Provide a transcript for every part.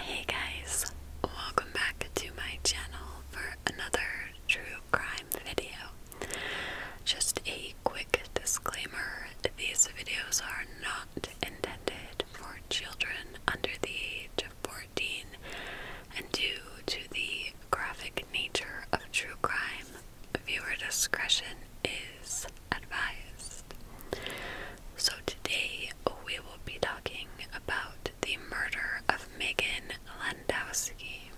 Hey guys, welcome back to my channel for another true crime video. Just a quick disclaimer these videos are not intended for children under the age of 14, and due to the graphic nature of true crime, viewer discretion is advised. So, today we will be talking about the murder of Megan Landowski,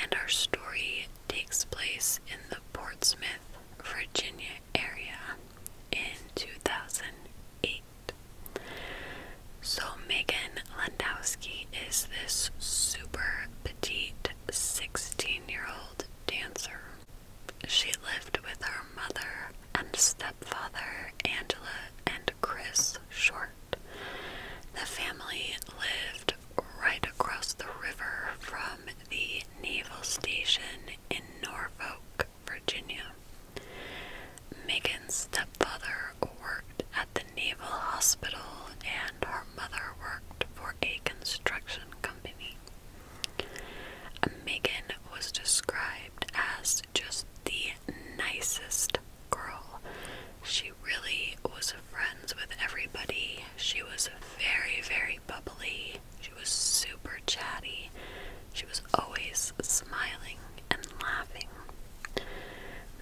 and our story takes place in the Portsmouth, Virginia area in 2008. So, Megan Landowski is this super petite 16 year old dancer she lived with her mother and stepfather, Angela and Chris Short. The family lived right across the river from the naval station in Norfolk, Virginia. Megan's stepfather worked at the Naval Hospital and her mother worked for a construction company. Megan was described as just the nicest girl. She really was friends with everybody. She was very, very bubbly. She was super chatty. She was always smiling and laughing.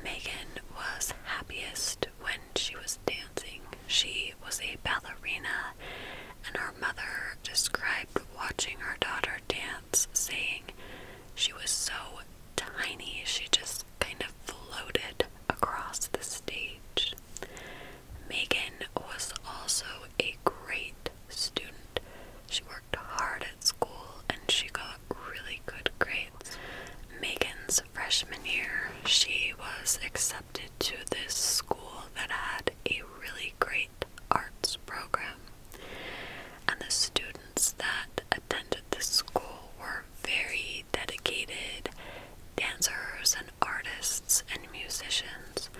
Megan was happiest when she was dancing. She was a ballerina, and her mother described watching her daughter dance, saying she was so tiny she just kind of floated across the stage. Megan was also a great student. She worked hard at school and she got really good grades. Megan's freshman year, she was accepted to this school that had a really great arts program. And the students that attended this school were very dedicated dancers and artists and musicians.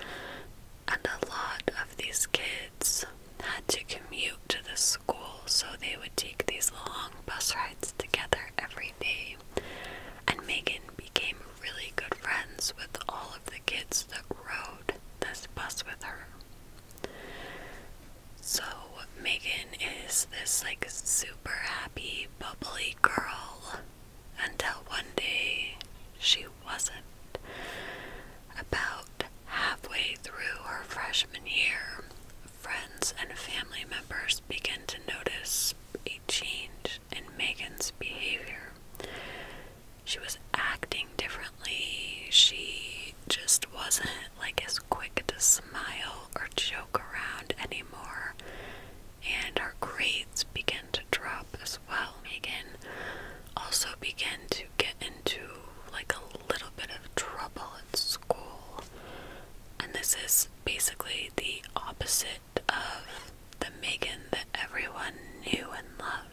And a lot of these kids had to commute to the school, so they would take these long bus rides together every day. And Megan became really good friends with all of the kids that rode this bus with her. So, Megan is this like super happy, bubbly girl until one day she wasn't. About halfway through her freshman year, friends and family members begin to notice a change in Megan's behavior she was acting differently. She just wasn't like as quick to smile or joke around anymore. And her grades began to drop as well. Megan also began to get into like a little bit of trouble at school. And this is basically the opposite of the Megan that everyone knew and loved.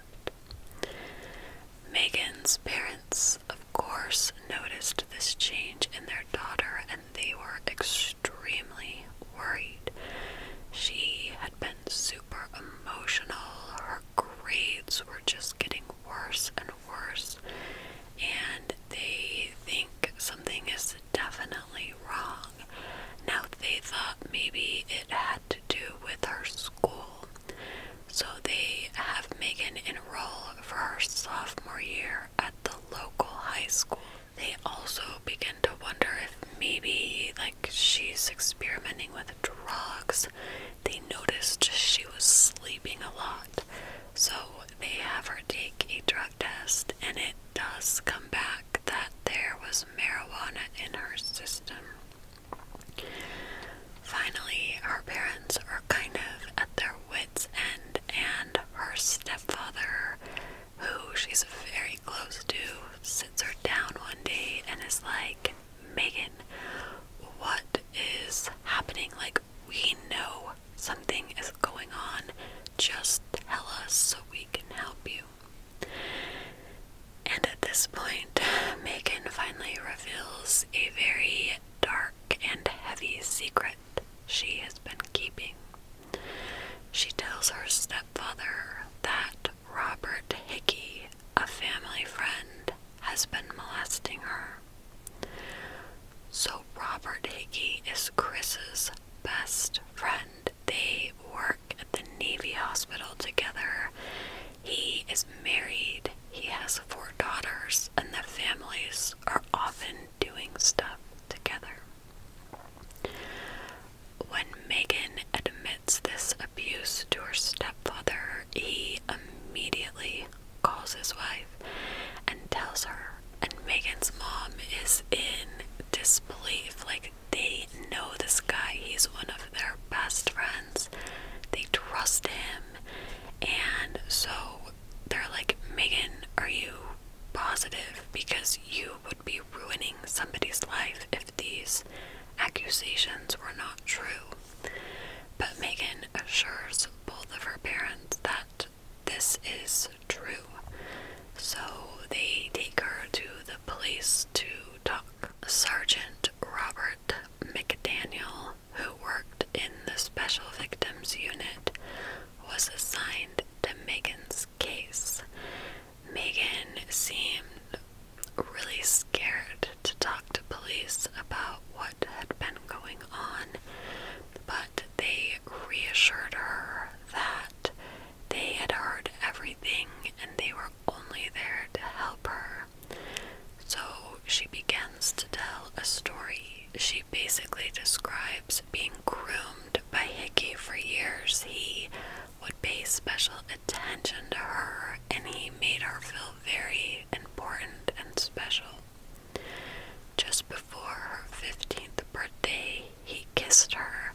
Megan's parents, of course, noticed this change in their daughter and they were extremely worried. She had been super emotional, her grades were just getting worse and worse, and they think something is definitely wrong. Now, they thought maybe it had to do with her school so they have Megan enroll for her sophomore year at the local high school. They also begin to wonder if maybe like she's experimenting with drugs. They noticed she was sleeping a lot. So they have her take a drug test and it does come back that there was marijuana in her system. Finally, her parents are kind of at their wits' end, and her stepfather, who she's very close to, sits her down one day and is like, Megan, what is happening? Like, we know something is going on. Just tell us so we can help you. And at this point, Megan finally reveals a very dark and heavy secret she has been keeping. She tells her stepfather that Robert Hickey, a family friend, has been molesting her. So, Robert Hickey is Chris's best friend they work at the Navy hospital together. He is married, he has four daughters, and the families are often doing stuff together. When Megan admits this abuse to her stepfather, he immediately calls his wife and tells her. And Megan's mom is in disbelief. Like, they know this guy, he's one of their best friends. They trust him. And so they're like, Megan, are you positive? Because you would be ruining somebody's life if these accusations were not true. But Megan assures both of her parents that this is true. So they take her to the police to talk Sergeant Robert McDaniel, who worked in the Special Victims Unit, was assigned to Megan's case. Megan seemed really scared to talk to police about what had been going on, but they reassured her that they had heard everything and they were only there to help her. So she begins to tell a story. She basically describes being groomed by Hickey for years. He would pay special attention to her and he made her feel very important and special. Just before her 15th birthday, he kissed her,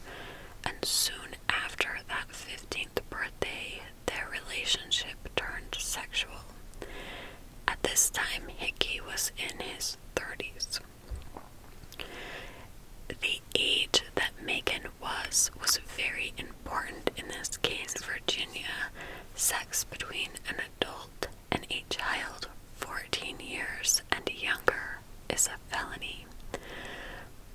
and soon after that 15th birthday, their relationship turned sexual. At this time, Hickey was in his 30s. The age that Megan was was very important in this case. Virginia, sex between an adult and a child 14 years and younger is a felony,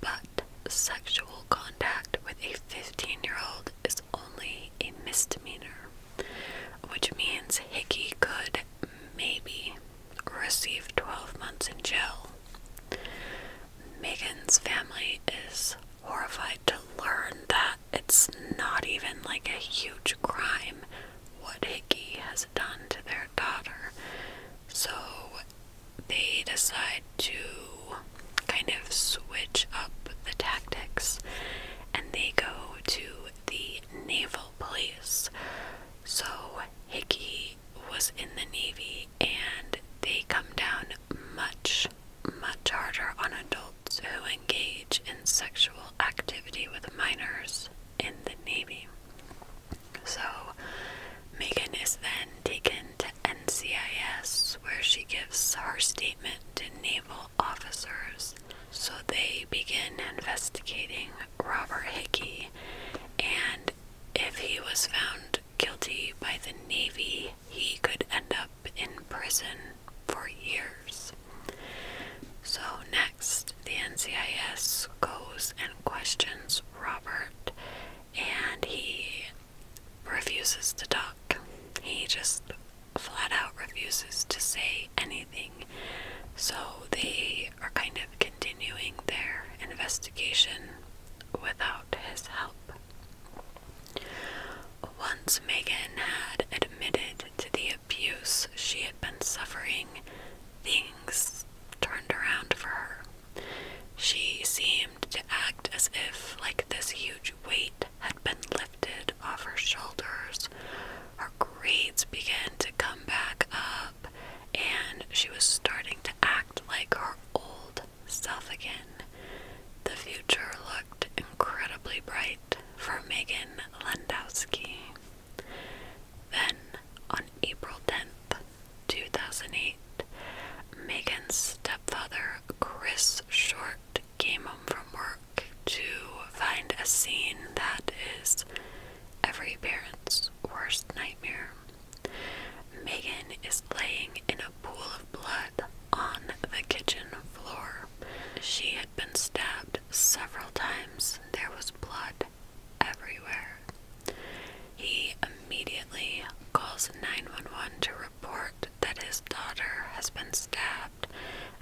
but sexual contact with a 15 year old is only a misdemeanor, which means Hickey could maybe receive 12 months in jail. Megan's family is horrified to learn that it's not even like a huge crime what Hickey has done to their daughter. So they decide to kind of switch up the tactics and they go to the naval police. So Hickey was in the Navy and they come down much, much harder on adults who engage in sexual activity with minors in the Navy. So Megan is then taken to NCIS where she gives her statement to naval officers. So they begin investigating Robert Hickey and if he was found guilty by the Navy, he could end up in prison for years. So, next, the NCIS goes and questions Robert, and he refuses to talk. He just flat out refuses to say anything. So they are kind of continuing their investigation without his help. Once Megan had admitted to the abuse she had been suffering, things turned around for her. She seemed to act as if, like, this huge weight had been lifted off her shoulders. Her grades began to come back up, and she was starting to act like her old self again. The future looked incredibly bright for Megan Landowski. Then, on April 10th, 2008, Megan's stepfather, Chris Short, came home from work to find a scene that is every parent's worst nightmare. Megan is laying in a pool of blood on the kitchen floor. She had been stabbed several times. There was blood everywhere. He immediately calls 911 to report that his daughter has been stabbed,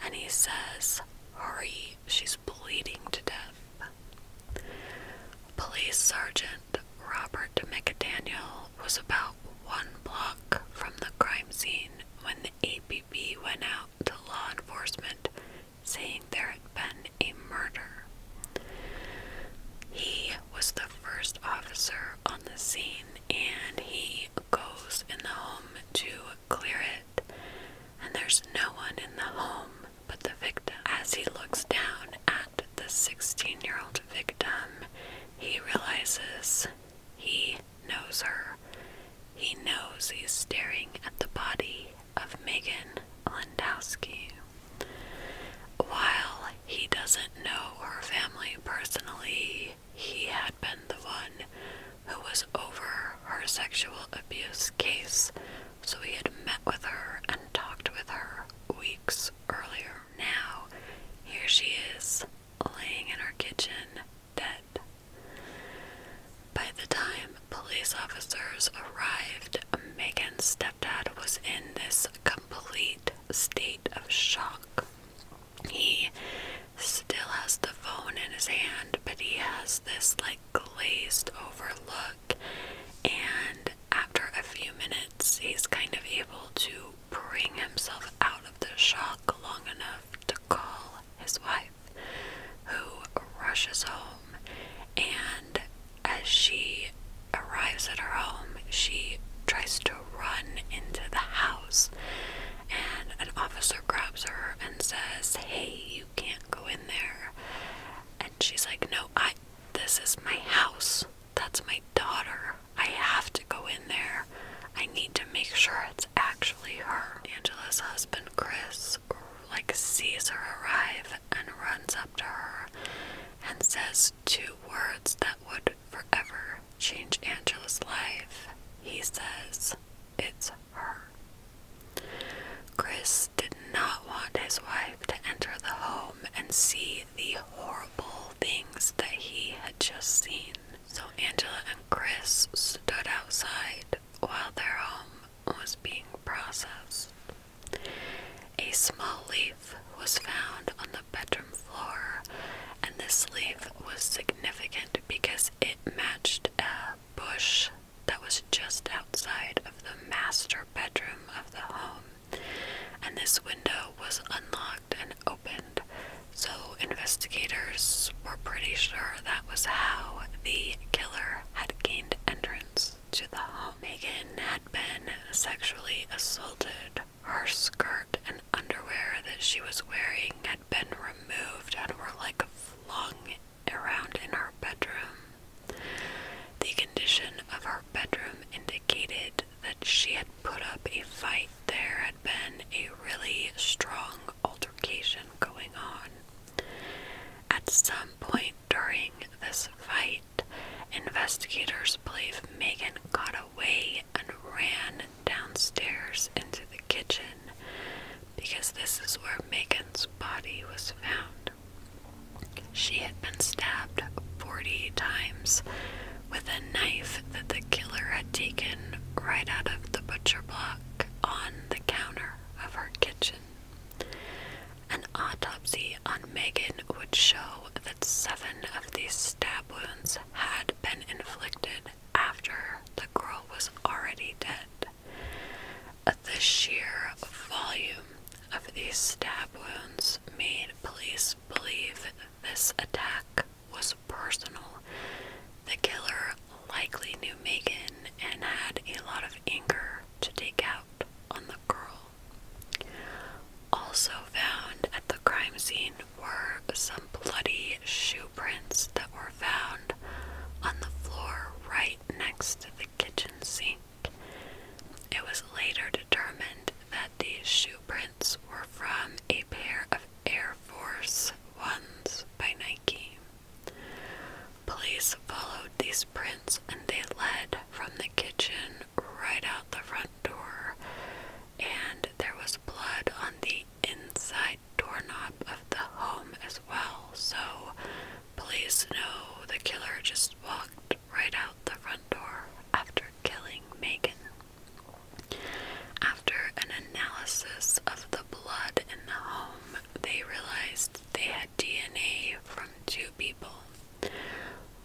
and he says, Hurry, she's bleeding to death. Police Sergeant Robert McDaniel was about one block from the crime scene when the APB went out to law enforcement saying there had been a murder. He was the first officer on the scene and he goes in the home to clear it and there's no one in the home but the victim. As he looks down at the 16-year-old victim, he realizes he knows her. He knows he's staring at the body of Megan Landowski. While he doesn't know her family personally, he had been the one who was over her sexual abuse case, so he had met with her and talked with her weeks earlier. Now, here she is, laying in her kitchen, dead. By the time police officers arrived, Megan's Dad was in this complete state of shock. He still has the phone in his hand, but he has this like glazed over look. And after a few minutes, he's kind of able to bring himself out of the shock long enough to call his wife, who rushes home and as she arrives at her home, she tries to run into the house, and an officer grabs her and says, Hey, you can't go in there. And she's like, No, I this is my house. That's my daughter. I have to go in there. I need to make sure it's actually her. Angela's husband, Chris, like sees her arrive and runs up to her and says two words that would forever change Angela's life. He says, It's her. Chris did not want his wife to enter the home and see the horrible things that he had just seen. So Angela and Chris stood outside while their home was being processed. A small leaf was found on the bedroom floor, and this leaf was significant because it matched a bush that was just outside of the master bedroom of the home. And this window was unlocked and opened, so investigators were pretty sure that was how the killer had gained entrance to the home. again been sexually assaulted. Her skirt and underwear that she was wearing had been removed and were like flung around in her bedroom. The condition of her bedroom indicated that she had put up a fight. There had been a really strong altercation going on. At some point, during this fight, investigators believe Megan got away and ran downstairs into the kitchen because this is where Megan's body was found. She had been stabbed 40 times with a knife that the killer had taken right out of the butcher block on the counter of her kitchen. An autopsy on Megan would show that seven of these stab wounds had been inflicted after the girl was already dead. The sheer volume of these stab wounds made police believe this attack was personal. The killer likely knew Megan and had a lot of anger to take out on the girl. Also found at the crime scene were some bloody shoe prints that were found on the floor right next to the kitchen sink. It was later determined that these shoe prints were from a pair of Air Force Ones by Nike. Police followed these prints and they led from the kitchen right out the front door, and there was blood on the inside doorknob of the home as well. So, police know the killer just walked right out the front door after killing Megan. After an analysis of the blood in the home, they realized they had DNA from two people.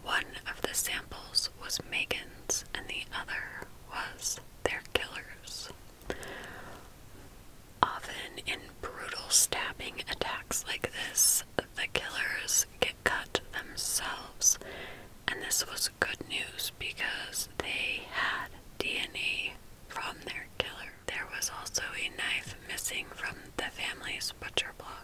One of the samples was Megan's, and the other was their killer's. Often in brutal stabbing attacks like this, the killers get cut themselves, and this was good news because they had DNA from their killer. There was also a knife missing from the family's butcher block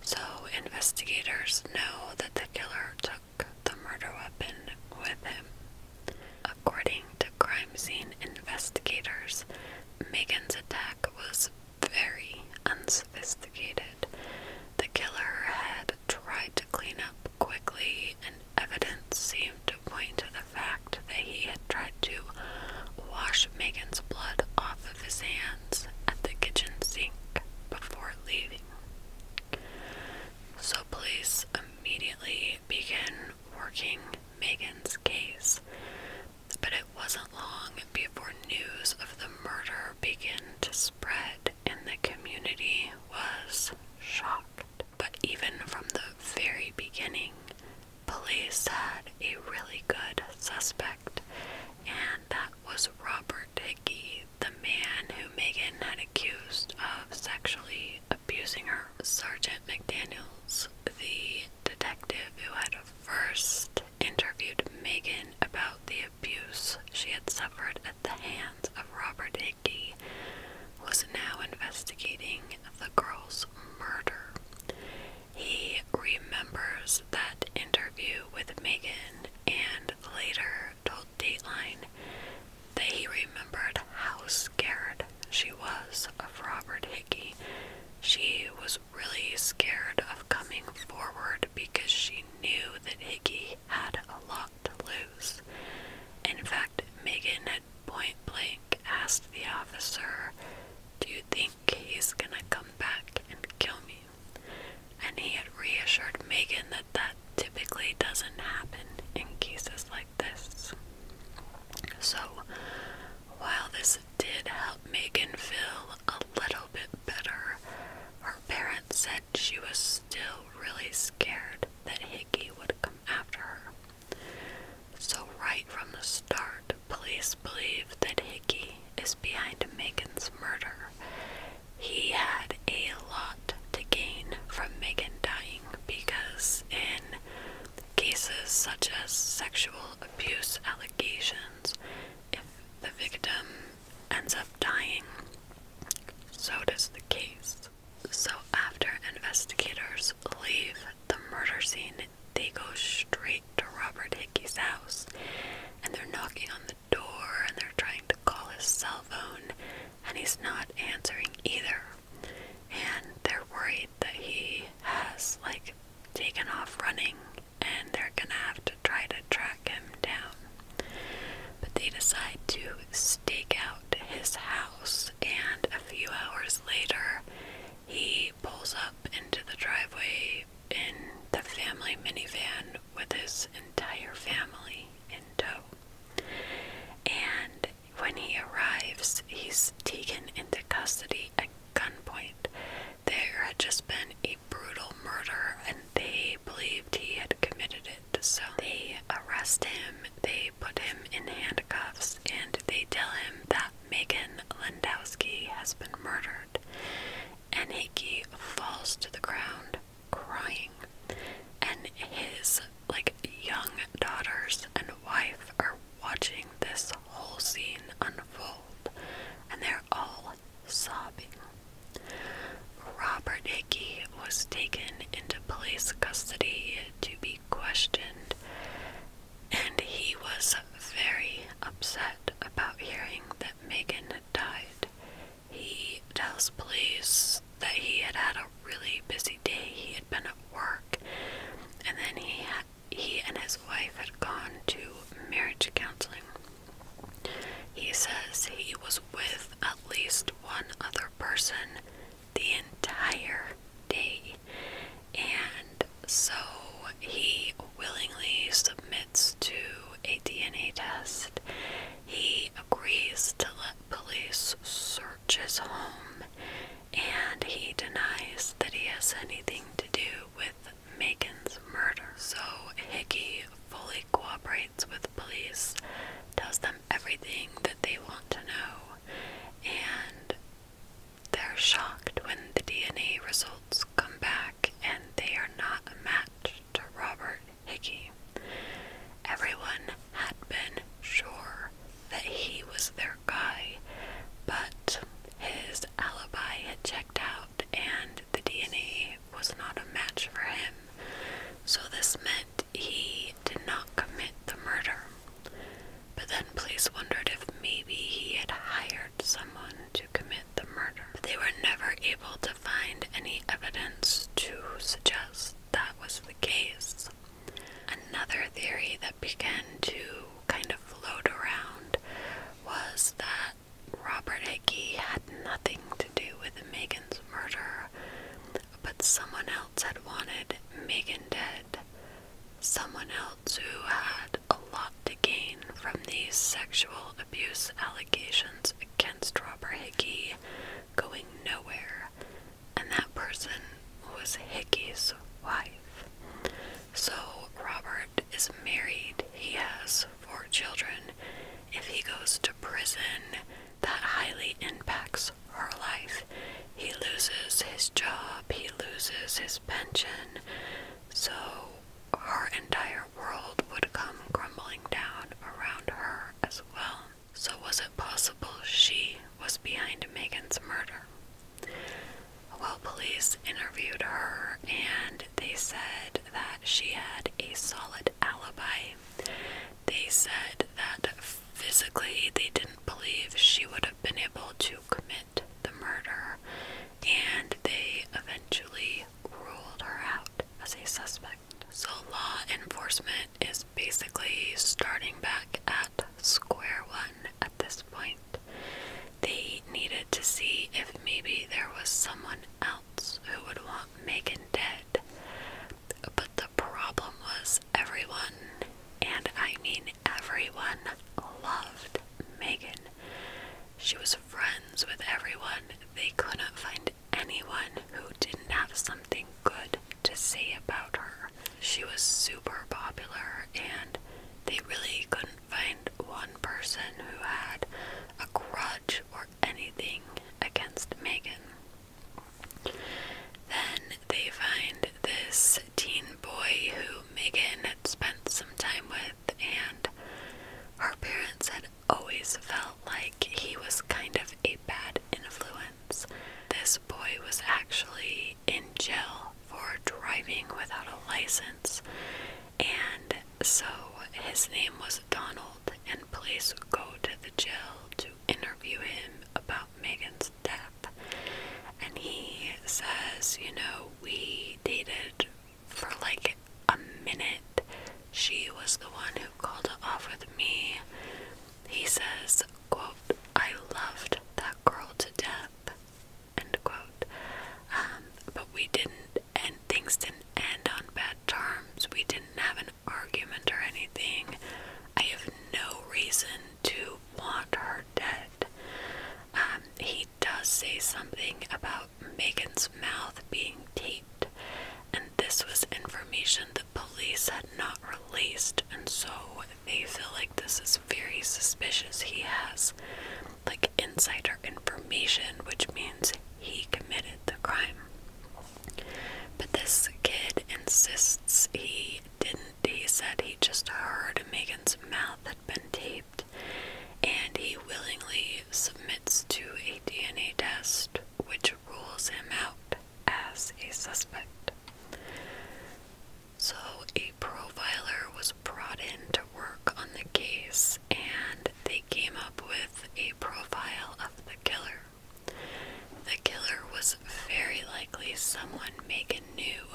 so investigators know that the killer took the murder weapon with him. According to crime scene investigators, Megan's attack was very unsophisticated. The killer had tried to clean up quickly, and evidence seemed to point to the fact that he had tried to wash Megan's blood off his hands at the kitchen sink before leaving. So police immediately began working Megan's case, but it wasn't long before news of the murder began to spread and the community was shocked. But even from the very beginning, police had a really good suspect and that was Robert Hickey, the man who Megan had accused of sexually abusing her. Sergeant McDaniels, the detective who had first interviewed Megan about the abuse she had suffered at the hands of Robert Hickey, was now investigating the girl's murder. He remembers that interview with Megan and later told Dateline that he remembered how scared she was of Robert Hickey. She was really scared of coming forward because she knew that Hickey had a lot to lose. in fact, Megan had point blank asked the officer, Do you think he's gonna come back and kill me? and he had reassured Megan that that typically doesn't happen in cases like this. So, while this did help Megan feel a little bit better, her parents said she was still really scared that Hickey would come after her. So, right from the start, police believe that Hickey is behind Megan's murder. He had a lot to gain from Megan dying because, in cases such as sexual abuse allegations, if the victim ends up dying, so does the case. So, after investigators leave the murder scene they go straight to Robert Hickey's house and they're knocking on the door and they're trying to call his cell phone and he's not answering either. And they're worried that he has like taken off running and they're gonna have to try to track him down. But they decide to stake out his house and a few hours later he pulls up into the driveway in the family minivan with his entire family in tow. And when he arrives, he's taken into custody at gunpoint. There had just been a brutal murder, and they believed he had committed it. So they arrest him, they put him in handcuffs, and they tell him that Megan Lindowski has been murdered and Hickey falls to the ground crying, and his like young daughters and wife are watching this whole scene unfold, and they're all sobbing. Robert Hickey was taken into police custody to be questioned, and he was very upset about hearing that Megan had died. He tells police that he had had a really busy day. He had been at work, and then he had, he and his wife had gone to marriage counseling. He says he was with at least one other person the entire day, and so he willingly submitted to a DNA test. He agrees to let police search his home and he denies that he has anything to do with Megan's murder. So Hickey fully cooperates with police, tells them everything that they want to know, and they're shocked when the DNA results come back and they are not a match to Robert Hickey. Everyone had been sure that he was their guy, but his alibi had checked out and the DNA was not a match for him. So this meant he did not commit the murder. But then police wondered if maybe he had hired someone to commit the murder. But they were never able to find any evidence to suggest that was the case. Another theory that began to kind of float around was that Robert Hickey had nothing to do with Megan's murder, but someone else had wanted Megan dead. Someone else who had a lot to gain from these sexual abuse allegations against Robert Hickey going nowhere, and that person was Hickey's wife. So, Robert is married, he has four children. If he goes to prison, that highly impacts her life. He loses his job, he loses his pension. So, her entire world would come crumbling down around her as well. So, was it possible she was behind Megan's murder? Well, police interviewed her and they said that she had a solid alibi. They said that physically they didn't believe she would have been able to commit the murder, and they eventually ruled her out as a suspect. So, law enforcement is basically starting back at square one at this point. They needed to see if maybe there was someone else who would want Megan dead. But the problem was everyone, and I mean everyone, loved Megan. She was friends with everyone. They couldn't find anyone who didn't have something good to say about her. She was super popular, and they really couldn't find one person who had a grudge or anything against Megan. Then they find this teen boy who Megan had spent some time with and her parents had always felt like he was kind of a bad influence. This boy was actually in jail for driving without a license, and so his name was Donald, and police would go to the jail to interview him about Megan's death. And he says, you know, we dated for like a minute. She was the one who called it off with me. He says, quote, I loved that girl to death, end quote. Um, but we didn't, and things didn't end on bad terms. We didn't have an argument or anything. I have no reason to want her dead. Um, he does say something about Megan's mouth being taped, and this was information the police had not released, and so they feel like this is very suspicious. He has like insider information, which means he committed the crime. But this kid insists he didn't. He said he just heard Megan's mouth had been taped and he willingly submits to a DNA test, which rules him out as a suspect. So, a profiler was brought in to work on the case, and they came up with a profile of the killer. The killer was very likely someone Megan knew,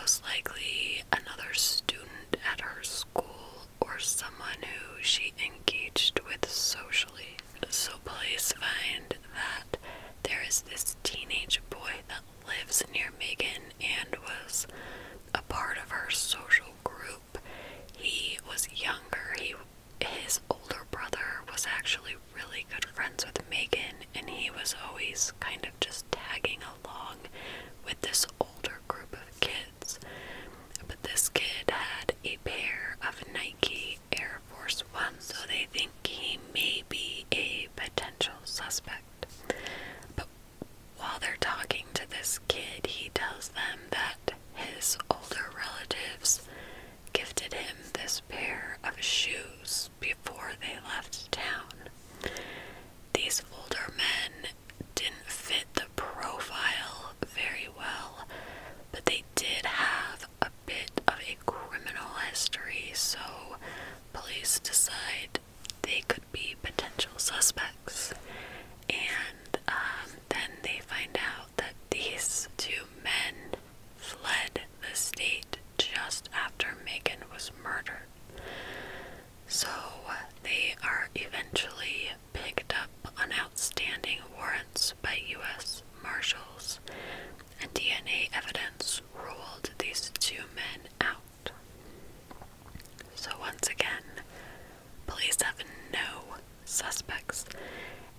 most likely another student at her school or someone who she engaged with socially. So police find that there is this teenage boy that lives near Megan and was a part of her social group. He was younger. He his older brother was actually really good friends with Megan and he was always kind of just tagging along with this older group of kids. But this kid had a pair of Nike Air Force One, so they think he may be a potential suspect. But while they're talking to this kid, he tells them that his older relatives gifted him this pair of shoes before they left town. These older men didn't fit the profile very well, but they did have a bit of a criminal history, so police decide they could be potential suspects. And um, then they find out that these two men fled the state just after Megan was murdered. So they are eventually picked up on outstanding warrants by U.S. Marshals, and DNA evidence ruled these two men out. So, once again, police have no suspects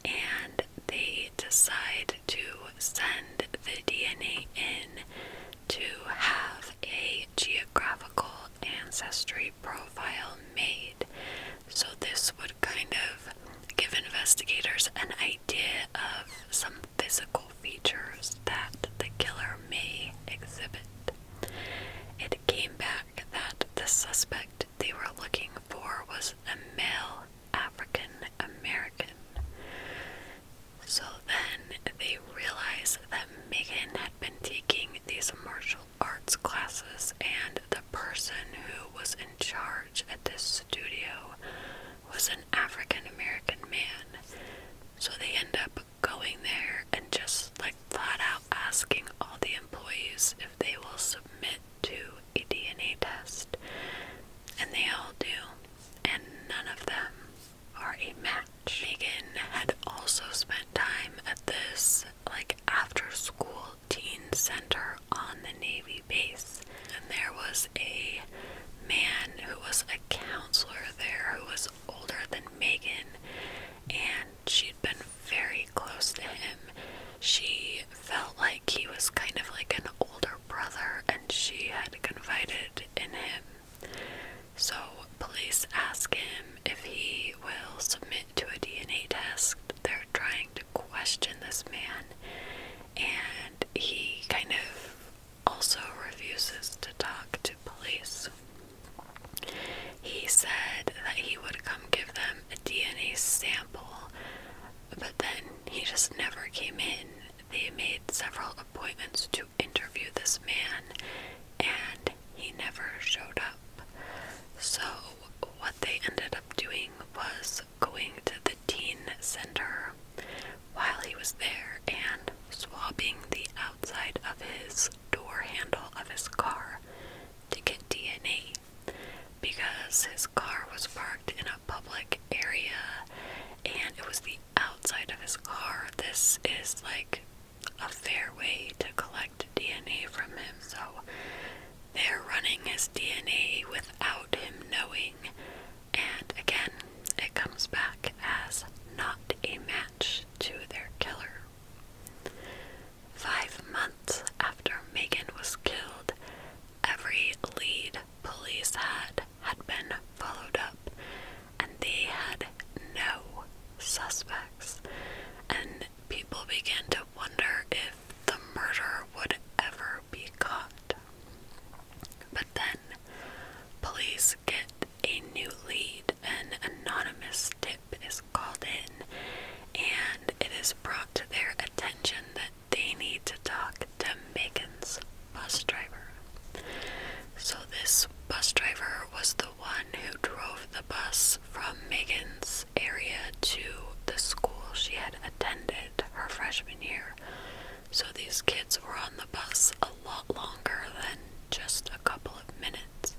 and they decide to send the DNA in to have a geographical ancestry profile made. So, this would kind of give investigators an idea of some physical features that the killer may exhibit. It came back that the suspect they were looking for was a male African American. So then they realize that Megan had been taking these martial arts classes, and the person who was in charge at this studio was an African American man. So they end up going there and just like flat out asking all the employees if they will submit to a DNA test. And they all do, and none of them are a match. Megan had also spent time at this like after school teen center on the Navy base, and there was a man who was a counselor there who was older than Megan, and she'd been very close to him. She felt like he was kind of like an older brother, and she had confided in him. So, police ask him if he will submit to a DNA test. They're trying to question this man, and he kind of also refuses to talk to police. He said that he would come give them a DNA sample, but then he just never came in. They made several appointments to interview this man, and he never showed up. So, what they ended up doing was going to the teen center while he was there and swabbing the outside of his door handle of his car to get DNA because his car was parked in a public area and it was the outside of his car. This is like a fair way to collect DNA from him, so they're running his DNA without him knowing, and again, it comes back as not a match to their killer. Five months after Megan was killed, every lead police had had been followed up, and they had no suspects. And people began to wonder if the murder would ever be caught. But then police get a new lead. An anonymous tip is called in, and it is brought to their attention that they need to talk to Megan's bus driver. So this bus driver was the one who drove the bus from Megan's area to the school she had attended her freshman year. So these kids were on the bus a lot longer than just a couple of minutes,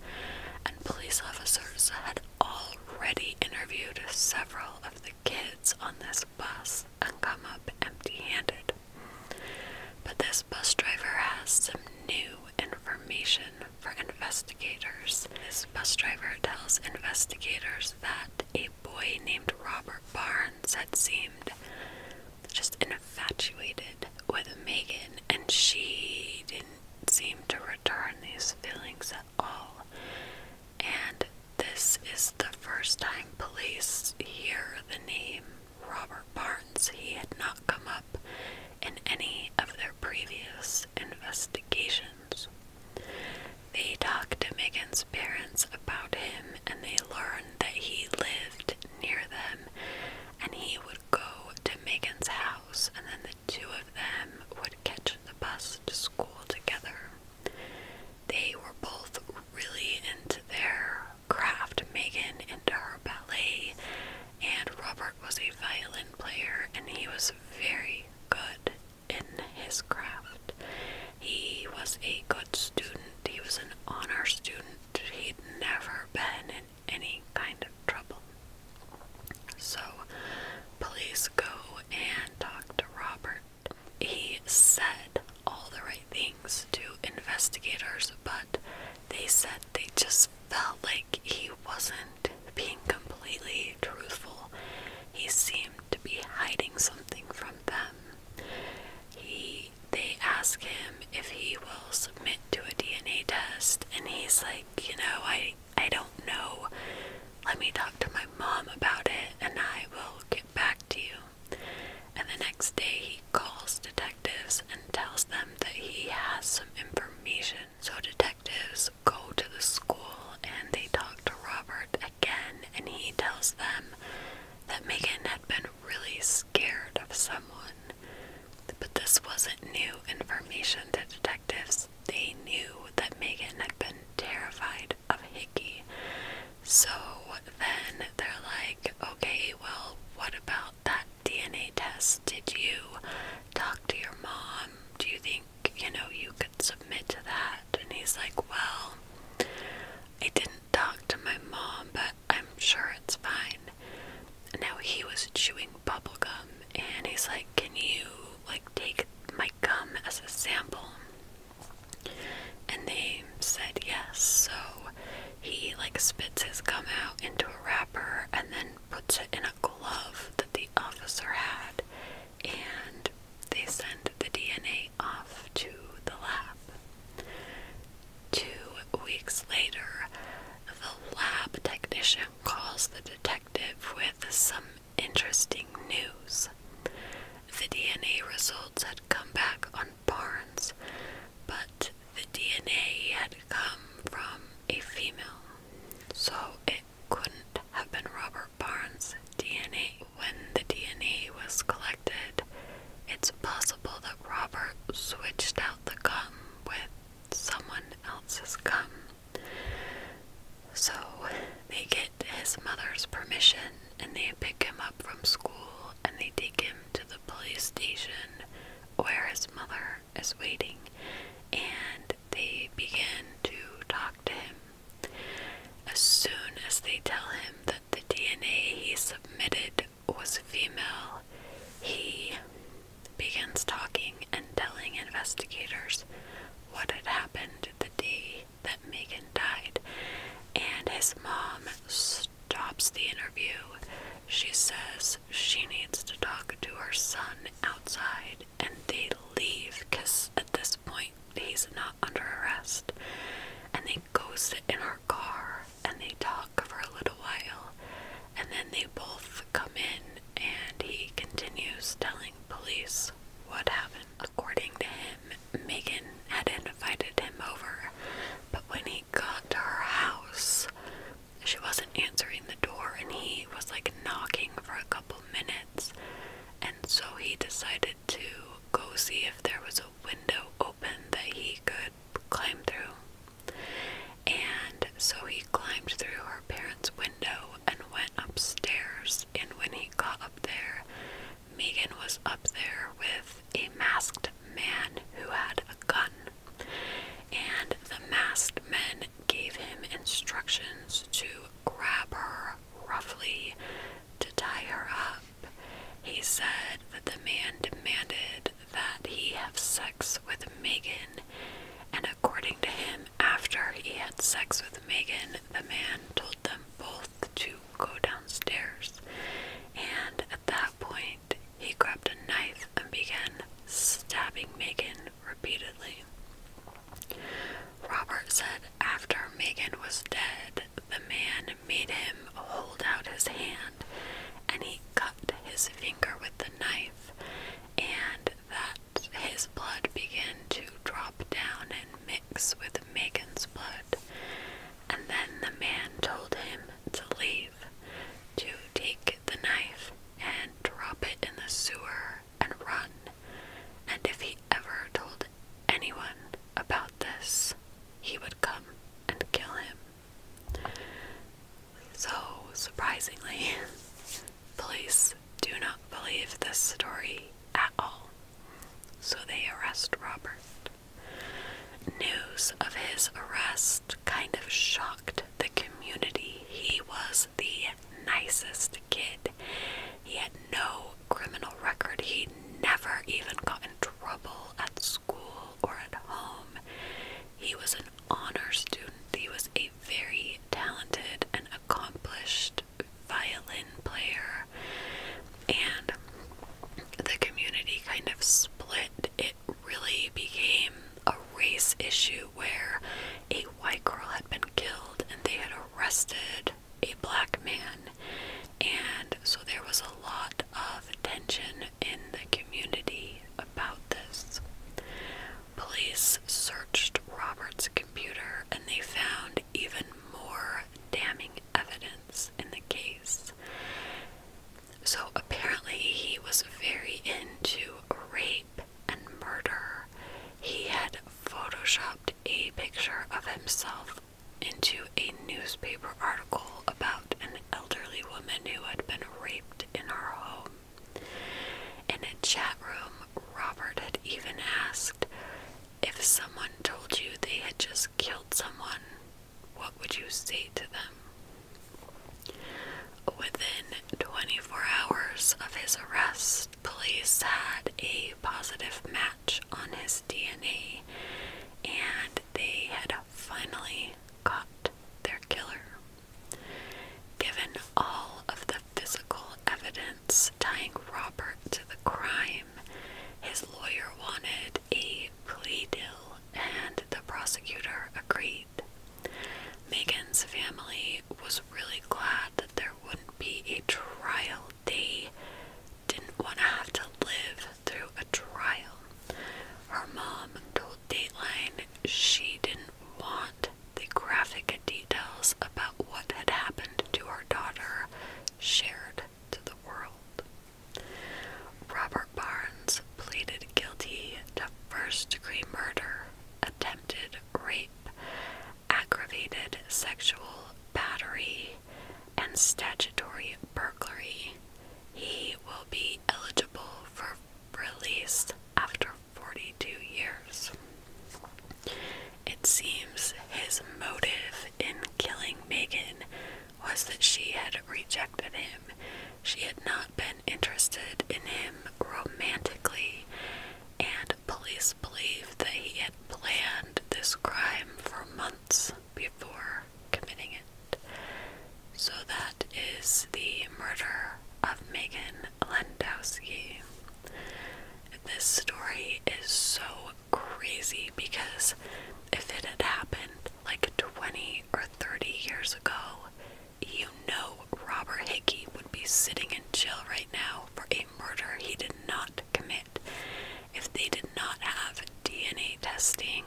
and police officers had already interviewed several of the kids on this bus and come up empty handed. But this bus driver has some new information for investigators. This bus driver tells investigators that a boy named Robert Barnes had seemed just infatuated with Megan, and she didn't seem to return these feelings at all. And this is the first time police hear the name Robert Barnes, he had not come up in any of their previous investigations. They talked to Megan's parents about him and they learned that he lived near them and he would go to Megan's house and then the two of them would catch the bus to school together. They were both really into their craft Megan into her ballet, and Robert was a violin player, and he was very good in his craft. He was a good student, he was an honor student, he'd never been in any kind of trouble. So, please go and talk to Robert. He said all the right things to investigators, but they said they just felt like he wasn't being completely truthful. He seemed to be hiding something from them. He they ask him if he will submit to a DNA test and he's like, you know, I I don't know. Let me talk to my mom about it and I will get back to you. And the next day he he calls detectives and tells them that he has some information. So detectives go to the school and they talk to Robert again and he tells them that Megan had been really scared of someone. But this wasn't new information to detectives. They knew that Megan had been terrified of Hickey. So then they're like, okay, well, what about that DNA test? Did you talk to your mom? Do you think, you know, you could submit to that? And he's like, Well, I didn't talk to my mom, but I'm sure it's fine. Now he was chewing bubble gum and he's like, Can you like take my gum as a sample? And they said yes, so he like spits his gum out into a wrapper and then puts it in a glove that the officer had and they send the DNA off to the lab. Two weeks later, the lab technician calls the detective with some interesting news. The DNA results had come back on Barnes, but the DNA had come from a female, so it couldn't have been Robert Barnes' DNA. When the DNA was collected, it's possible that Robert switched out the gum with someone else's gum. So they get his mother's permission and they pick him up from school and they take him to the police station where his mother is waiting, and they begin to talk to him. As soon as they tell him that the DNA he submitted was female, he begins talking and telling investigators what had happened the day that Megan died, and his mom stops the interview. She says she needs to talk to her son outside, and they leave because at this point he's not under arrest. And they go sit in her car and they talk for a little while, and then they both come in, and he continues telling police what happened. According to him, Megan had invited him over, but when he got to her house, she wasn't answering the door, and he was like knocking for a couple minutes. And so he decided to go see if there was a window open that he could climb through. And so he climbed through her parents' window and went upstairs. And when he got up there, Megan was up there with a masked man who had a gun, and the masked men gave him instructions to grab her roughly to tie her up. He said that the man demanded that he have sex with Megan, and according to him, after he had sex with Megan, the man told them both to go downstairs. And at that point, he grabbed a knife and began stabbing Megan repeatedly. Robert said after Megan was dead, the man made him hold out his hand and he cut his finger with the knife, and that his blood began to drop down and mix with Megan's blood. And then the man told him to leave to take the knife and drop it in the sewer and run. And if he ever told anyone about this, he would come and kill him. So, surprisingly, police do not believe this story at all. So they arrest Robert. News of his arrest kind of shocked the community. He was the nicest kid. He had no criminal record. He never even got in trouble at school or at home. He was an honor student. He was a very talented and accomplished violin player. And the community kind of split really became a race issue where a white girl had been killed and they had arrested a black man. And so there was a lot of tension in the community about this. Police searched Robert's computer and they found even more damning evidence in the case. So apparently, he was very into rape and murder. He had photoshopped a picture of himself into a newspaper article about an elderly woman who had been raped in her home. In a chat room, Robert had even asked if someone told you they had just killed someone, what would you say to them? Within 24 hours of his arrest, police had a positive match on his DNA and they had finally caught their killer. Given all of the physical evidence tying Robert to the crime, his lawyer wanted a plea deal, and the prosecutor agreed. Megan's family was really glad that there wouldn't be a trial. They didn't want to have to live through a trial. Her mom told Dateline she didn't want the graphic details about what had happened to her daughter shared to the world. Robert Barnes pleaded guilty to first degree murder, attempted rape, aggravated sexual battery, and statutory burglary. He will be eligible for release after 42 years. It seems his motive in killing Megan was that she had rejected him. She had not been interested in him romantically, and police believe that he had planned this crime for months before committing it. So that is the murder of Megan Landowski. This story is so crazy because if it had happened like 20 or 30 years ago, you know Robert Hickey would be sitting in jail right now for a murder he did not commit. If they did not have DNA testing,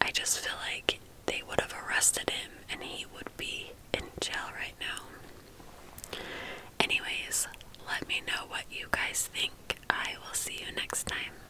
I just feel like they would have arrested him and he would be in jail right now. Anyways, let me know what you guys think. I will see you next time.